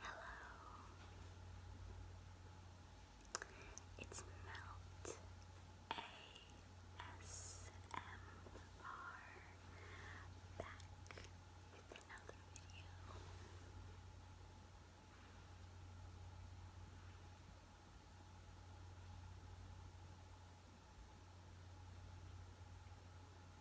Hello. It's Melt ASMR back with another video.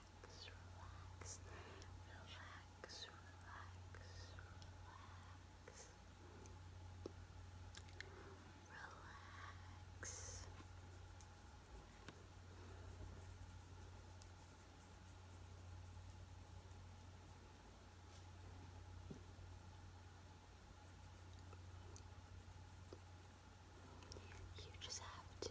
relax, relax, relax, relax, relax. You just have to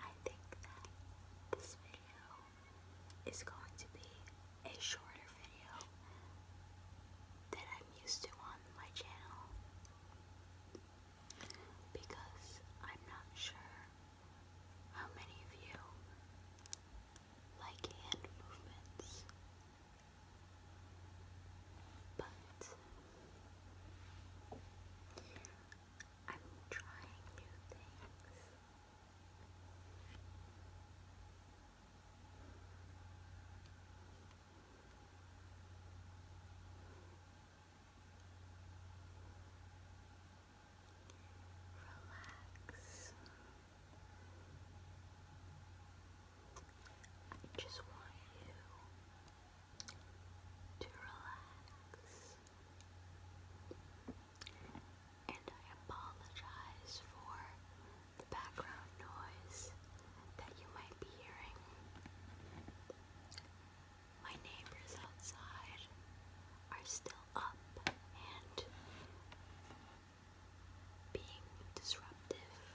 I think that this video is going to be a shorter video than I'm used to on my channel because I'm not sure how many of you like hand movements but I'm trying new things. Relax. I just want you to relax. And I apologize for the background noise that you might be hearing. My neighbors outside are still up and being disruptive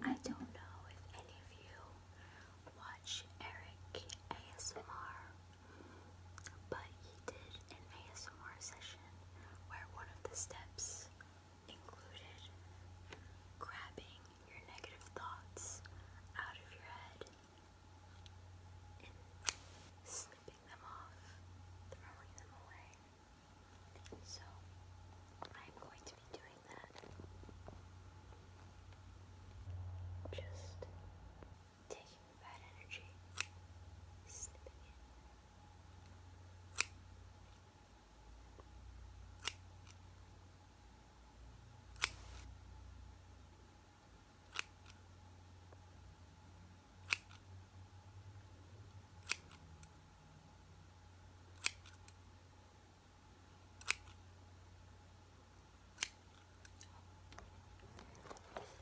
I don't know if any of you watch Eric ASMR but he did an ASMR session where one of the steps included grabbing your negative thoughts out of your head and snipping them off, throwing them away. So, I'm going to be doing that. Just taking the bad energy, snipping it.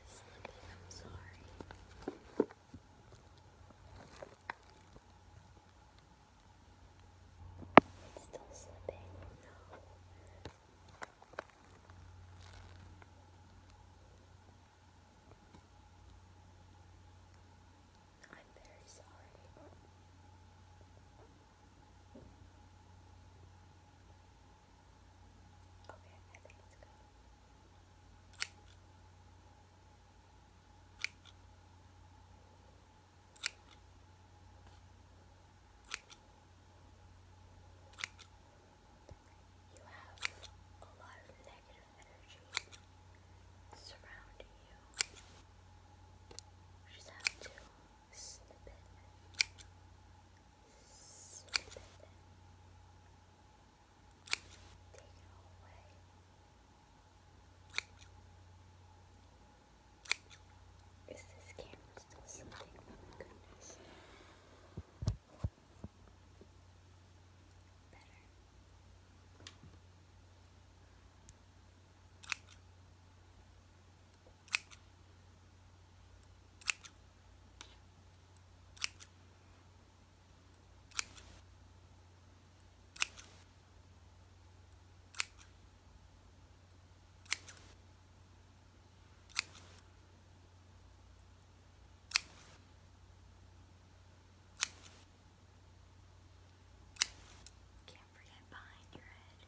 Slippy, I'm sorry. It's still slipping. No. I'm very sorry. Okay, You have a lot of negative energy surrounding you. You just have to snip it. Is this camera still something? Oh my goodness. Better. Can't forget behind your head.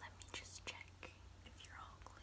Let me just check if you're all clear.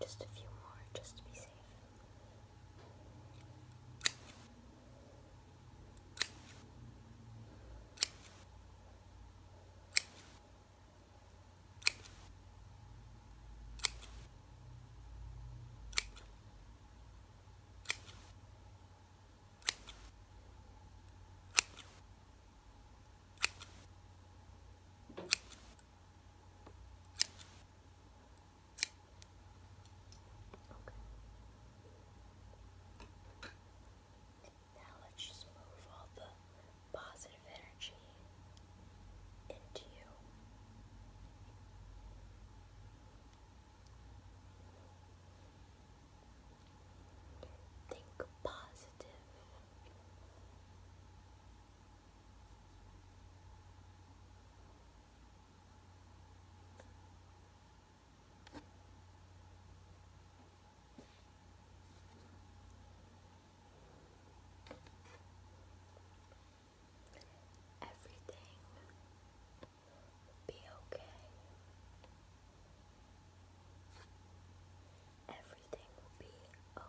Just a few more, just to be safe. Now let's just move all the positive energy into you. Think positive. Everything will be okay. Everything will be okay.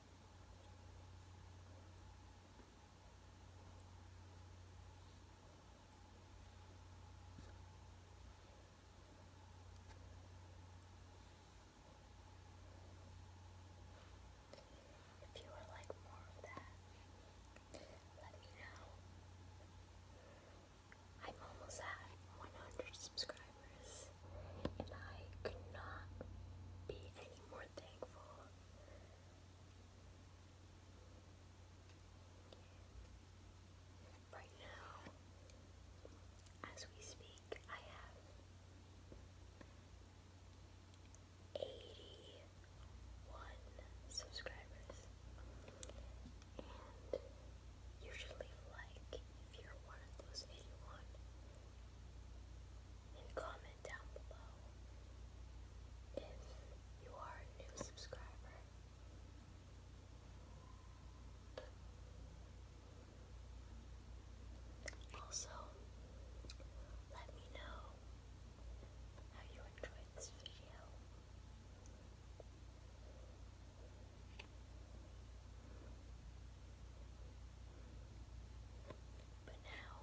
If you would like more of that, let me know. I'm almost at 100 subscribers, and I could not be any more thankful Right now, as we speak, I have 81 subscribers. And usually, like, if you're one of those and comment down below if you are a new subscriber. Also, let me know how you enjoyed this video. But now,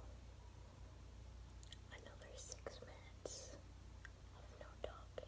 another six minutes of no talking.